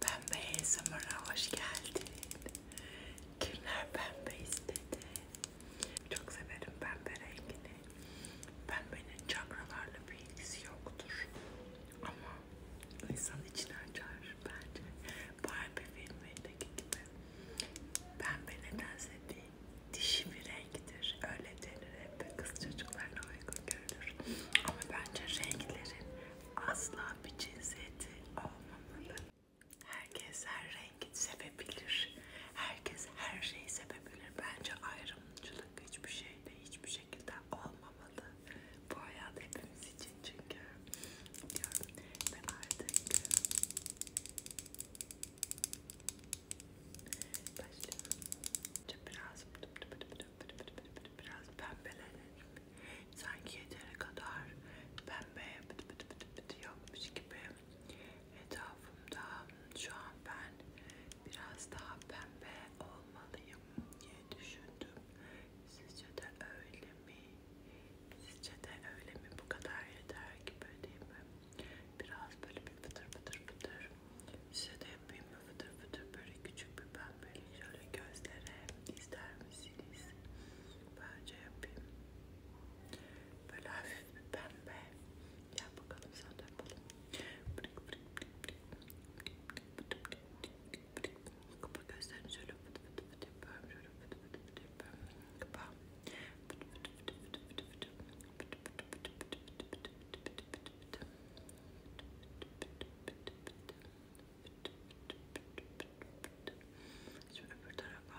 Pembe ASMR'a hoş geldin. Kimler pembe istedi? Çok severim pembe rengini. Pembenin çakralarla bir ilgisi yoktur. Ama insan içini açar bence. Barbie filmindeki gibi. Pembe nedense bir dişi bir renktir. Öyle denir hep kız çocuklarına uygun görülür. Ama bence renklerin asla kullanan bir cinsiyeti olmamalı. Herkes her rengi sevebilir. Herkes her şeyi sevebilir. Bence ayrımcılık hiçbir şeyde hiçbir şekilde olmamalı. Bu hayat hepimiz için çünkü diyorum ve artık başlıyorum. Biraz biraz pembelenelim sanki yeteri kadar pembe bıt bıt bıt bıt yapmış gibi etrafımda şu an ben biraz daha pembe olmalıyım diye düşündüm. Sizce de öyle mi? Sizce de öyle mi? Bu kadar yeter gibi değil mi? Biraz böyle bir pıtır pıtır pıtır. Size de yapayım mı? Fıtır fıtır böyle küçük bir ben böyle şöyle gözlere ister misiniz? Bence yapayım. Böyle hafif bir pembe. Gel bakalım sen de yapalım. Kapa gözlerini şöyle pıtı pıtı pıtı yapıyorum. Şöyle pıtı pıtı pıtı yapıyorum. Kapa. Pıtı pıtı pıtı pıtı pıtı pıtı. Pıtı pıtı pıtı pıtı pıtı pıtı pıtı pıtı pıtı. Pıtı pıtı pıtı pıtı pıtı pıtı. Şimdi öbür tarafa.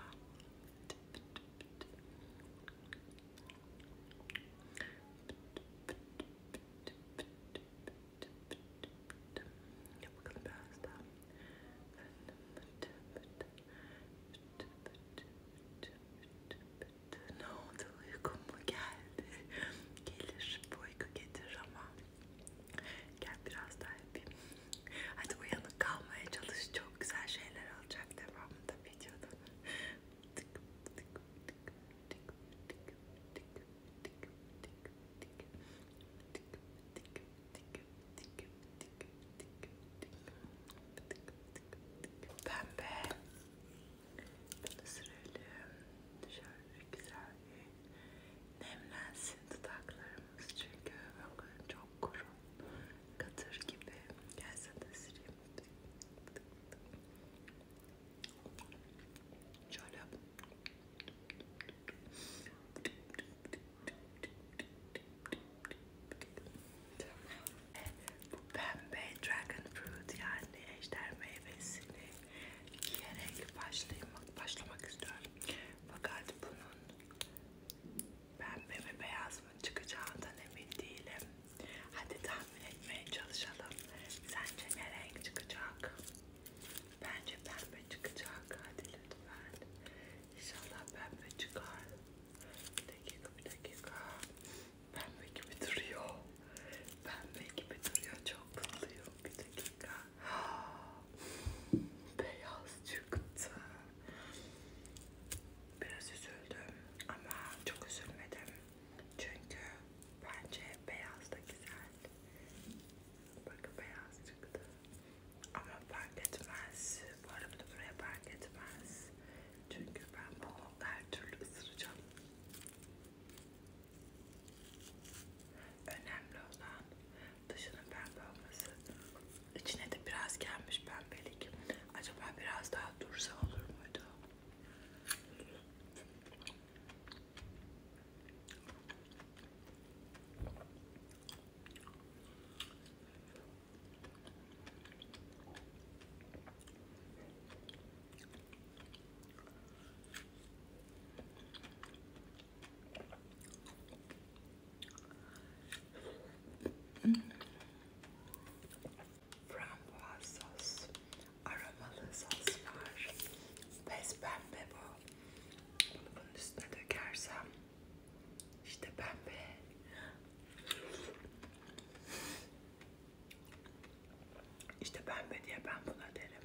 Yap bakalım biraz daha. Ne oldu? Uykum mu geldi? Gelir, bu uyku getir ama Gel biraz daha yapayım. Hadi uyanık kalmaya çalış. Çok güzel şeyler olacak devamında videoda. Pembe. Bunu sürelim. Şöyle güzel bir nemlensin dudaklarımız çünkü bakın çok kuru katır gibi gelse de sileyim şöyle bu pembe dragon fruit yani ejder meyvesini yiyerek başlamak, başlamak istiyorum. Fakat bunun pembe ve beyaz mı çıkacağından emin değilim. Hadi tahmin etmeye çalışalım. Sence ne renk çıkacak? Bence pembe çıkacak. Hadi lütfen. İnşallah pembe çıkar. Bir dakika bir dakika. Pembe gibi duruyor. Pembe gibi duruyor. Çok mutluyum. Bir dakika. Beyaz çıktı. Biraz üzüldüm ama çok üzülmedim. Çünkü bence beyaz da güzel. Bakın beyaz çıktı. Ama fark etmez. Bu arada buraya fark etmez. Çünkü ben bunu her türlü ısıracağım. Önemli olan dışının pembe olması. İçine de biraz gelmiş pembelik. Acaba biraz daha dursa olur muydu? Frambuaz sos, aromalı sos var. Pes pembe bu. Bunu bunun üstüne dökersem işte pembe. İşte pembe diye ben buna derim.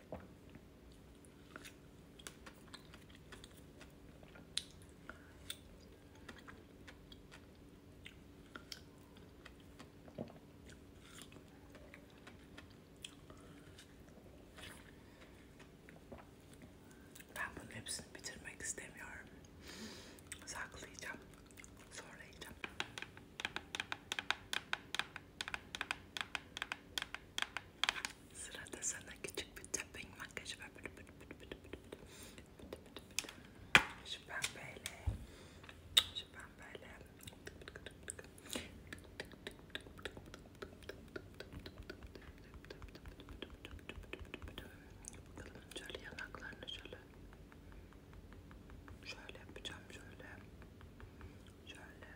Ben bunun hepsini bitirmek istemiyorum. Saklayacağım. Sonra yiyeceğim. Sırada sana küçük bir tapping makyajı var. Böyle böyle böyle böyle Şu pembeyle. Şu pembeyle. Bakalım şöyle yanaklarını şöyle. Şöyle yapacağım şöyle. Şöyle. Şöyle.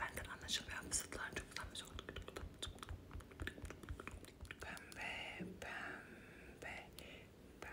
Benden anlaşılmayan fısıltılar çok utanmış oldu. Pembe, pembe, pembe.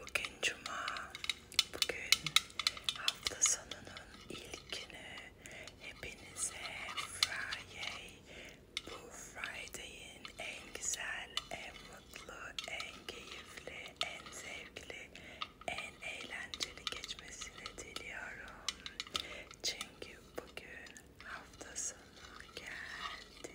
Bugün cuma, bugün hafta sonunun ilkini hepinize Friday, bu Friday'in en güzel, en mutlu, en keyifli, en zevkli, en eğlenceli geçmesini diliyorum. Çünkü bugün hafta sonu geldi.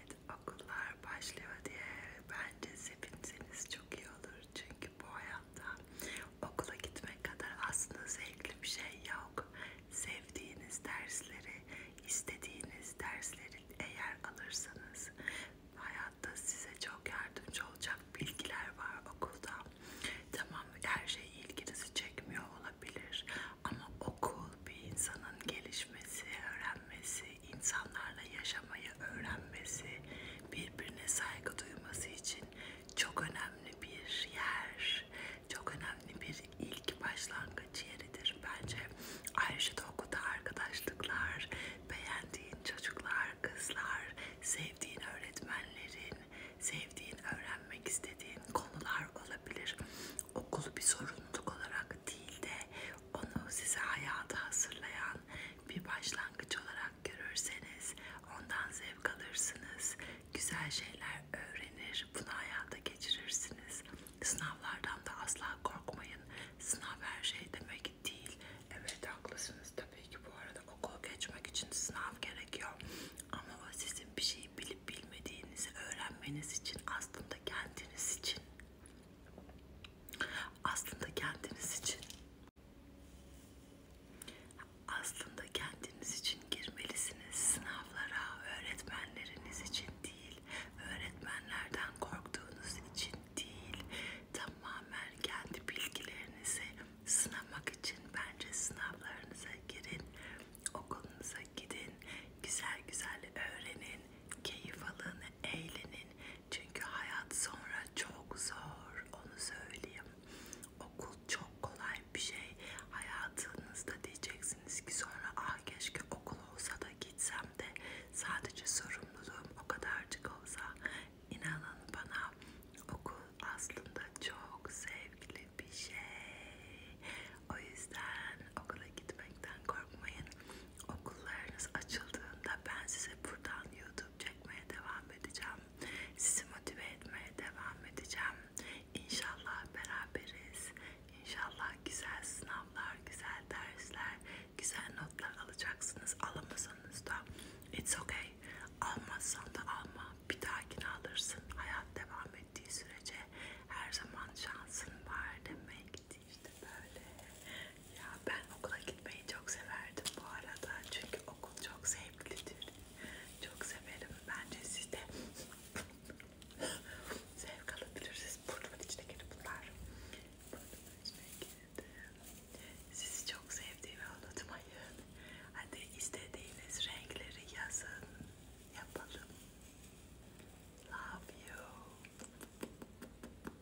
Evet okullar başlıyor diye bence sevinseniz çok iyi olur. Çünkü bu hayatta okula gitmek kadar aslında zevkli bir şey yok. Sevdiğiniz dersleri, istediğiniz dersleri eğer alırsanız hayatta size çok yardımcı olacak bilgiler var okulda. Tamam her şey ilginizi çekmiyor olabilir ama okul bir insanın gelişmesi, öğrenmesi, insanlarla yaşamayı öğrenmesi, birbirine saygı duyması için çok önemli bir yer, çok önemli bir ilk başlangıç yeridir bence. Ayrıca da okulda arkadaşlıklar, beğendiğin çocuklar, kızlar, sevdiğin öğretmenlerin, sevdiğin öğrenmek istediğin konular olabilir. Okul bir sorumluluk olarak değil de onu size hayata hazırlayan açısından bir başlangıç olarak görürseniz ondan zevk alırsınız. Güzel şeyler öğrenir, bunu hayata geçirirsiniz. Sınavlardan da asla korkmayın. Sınav her şey demek değil. Evet haklısınız tabii ki bu arada okul geçmek için sınav gerekiyor. Ama o sizin bir şeyi bilip bilmediğinizi öğrenmeniz için aslında kendiniz için aslında kendiniz için aslında kendiniz için girmelisiniz sınavlara öğretmenleriniz için değil öğretmenlerden korktuğunuz için değil tamamen kendi bilgilerinizi sınamak için bence sınavlarınıza girin okulunuza gidin güzel güzel öğrenin Keyif alın, eğlenin. Çünkü hayat sonra çok zor. Onu söyleyeyim. Okul çok kolay bir şey. Hayatınızda diyeceksiniz ki sonra ah keşke okul olsa da gitsem de sadece sorumluluğum o kadarcık olsa. İnanın bana okul aslında çok sevgili bir şey. O yüzden okula gitmekten korkmayın okullarınız açıldığında ben size buradan YouTube çekmeye devam edeceğim. Sizi motive etmeye devam edeceğim. İnşallah beraberiz. İnşallah güzel sınavlar, güzel dersler, güzel notlar alacaksınız. Alamasanız da it's okay. Almazsan da alma. Bir dahakine alırsın. Hayat devam ettiği sürece her zaman şansın var demek işte böyle. Ya ben okula gitmeyi çok severdim bu arada çünkü okul çok zevklidir. Çok severim. Bence siz de zevk alabilirsiniz. Burnumun içine girdi bunlar. Burnumun içine girdi. Sizi çok sevdiğimi unutmayın. Hadi istediğiniz renkleri yazın. Yapalım. Love you.